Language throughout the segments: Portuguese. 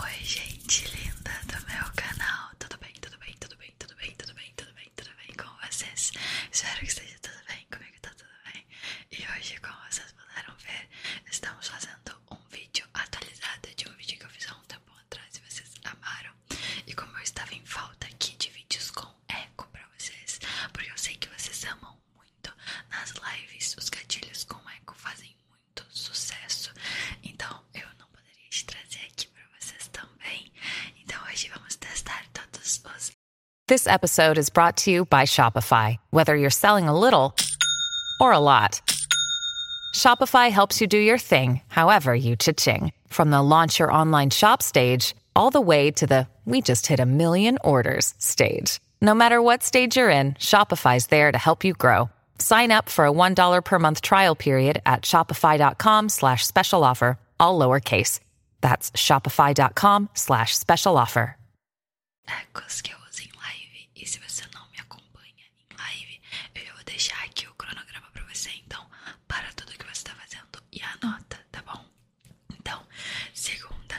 Oi, gente linda do meu canal, tudo bem, tudo bem, tudo bem, tudo bem, tudo bem, tudo bem, tudo bem com vocês? Espero que esteja tudo bem, comigo tá tudo bem E hoje, como vocês puderam ver, estamos fazendo um vídeo atualizado de um vídeo que eu fiz há um tempo atrás e vocês amaram E como eu estava em falta aqui de vídeos com eco para vocês, porque eu sei que vocês amam muito nas lives, os gatilhos com eco fazem muito. This episode is brought to you by Shopify. Whether you're selling a little or a lot, Shopify helps you do your thing, however you cha-ching. From the launch your online shop stage all the way to the we just hit a million orders stage. No matter what stage you're in, Shopify's there to help you grow. Sign up for a $1 per month trial period at shopify.com slash special offer, all lowercase. That's shopify.com slash special offer. que eu live, e se você não me acompanha live, eu vou deixar aqui o cronograma para você, então para tudo que você está fazendo e anota, tá bom? Então, segunda,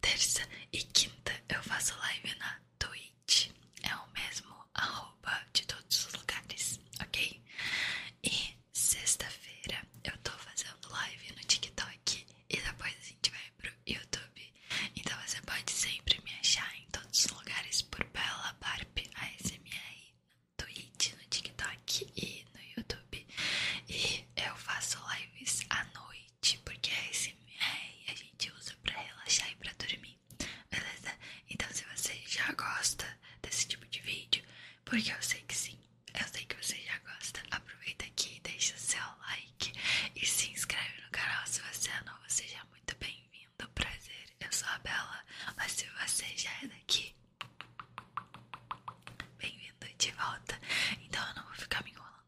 terça e quinta eu faço live na Twitch. É o mesmo arroba de todos os lugares, ok? E sexta-feira eu tô fazendo live no TikTok e depois a gente vai pro YouTube. Então você pode sempre me achar em todos os lugares por Bela Barb ASMR, no Twitch, no TikTok e no YouTube. E eu faço lives à noite porque a é é, a gente usa pra relaxar e pra dormir, beleza? Então se você já gosta desse tipo de vídeo, porque eu sei que sim, eu sei que você já gosta, aproveita aqui e deixa seu like e se inscreve no canal se você é novo, seja muito bem-vindo, prazer, eu sou a Bela, mas se você já é daqui, bem-vindo de volta, então eu não vou ficar me enrolando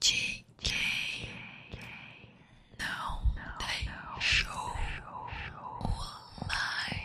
GK No They show all like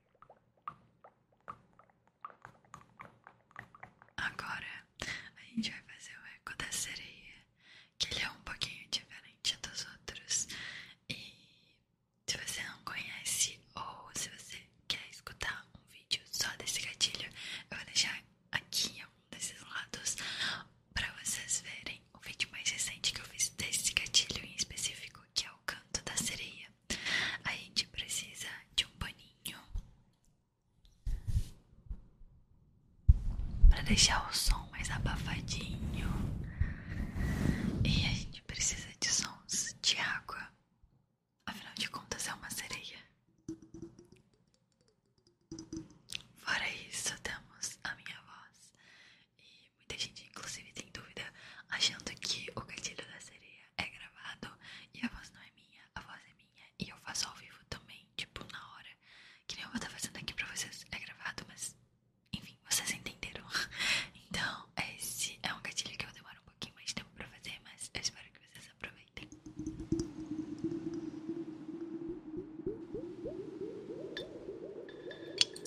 Agora a gente vai fazer o eco da sereia, que ele é um pouquinho diferente dos outros. E se você não conhece ou se você quer escutar um vídeo só desse gatilho, eu vou deixar aqui um desses lados para vocês verem o vídeo mais recente que eu fiz desse gatilho em específico, que é o canto da sereia. A gente precisa de um paninho para deixar o som mais abafadinho. E a gente precisa de sons de água. Afinal de contas, é uma sereia. Fora isso, temos a minha voz. E muita gente, inclusive, tem dúvida, achando que o gatilho da sereia é gravado e a voz não é minha, a voz é minha e eu faço ao vivo também, tipo na hora. Que nem eu vou estar fazendo aqui pra vocês, é gravado, mas enfim, vocês entenderam. Então, esse é um gatilho que eu demoro um pouquinho mais de tempo pra fazer, mas eu espero que vocês aproveitem.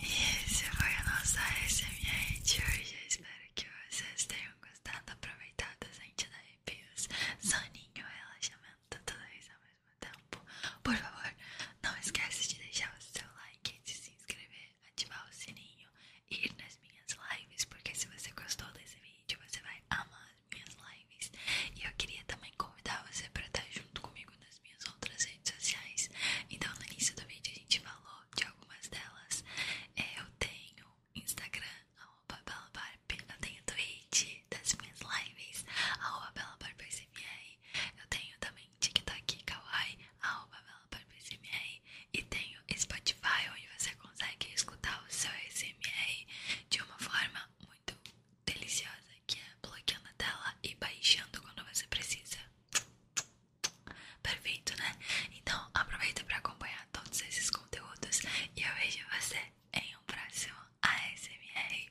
E esse foi a nossa SMH de hoje. espero que vocês tenham gostado, aproveitado, sentido arrepios, soninho, relaxamento, tudo isso ao mesmo tempo. Por favor, não esqueça de deixar o seu like, de se inscrever, ativar o sininho e ir nas minhas lives, porque se você gostou desse vídeo, você vai amar minhas lives. E eu queria também convidar você para estar junto comigo nas minhas outras redes sociais. Então, no início do vídeo, a gente falou de algumas delas. É, eu tenho Instagram, arroba BelaBarb. Eu tenho Twitch das minhas lives, arroba BelaBarbSMR. Eu tenho também TikTok, Kawaii, arroba BelaBarbSMR. E tenho Spotify, onde você consegue escutar o seu de uma forma muito deliciosa, que é bloqueando a tela e baixando quando você precisa. Perfeito, né? Então aproveita para acompanhar todos esses conteúdos e eu vejo você em um próximo ASMR.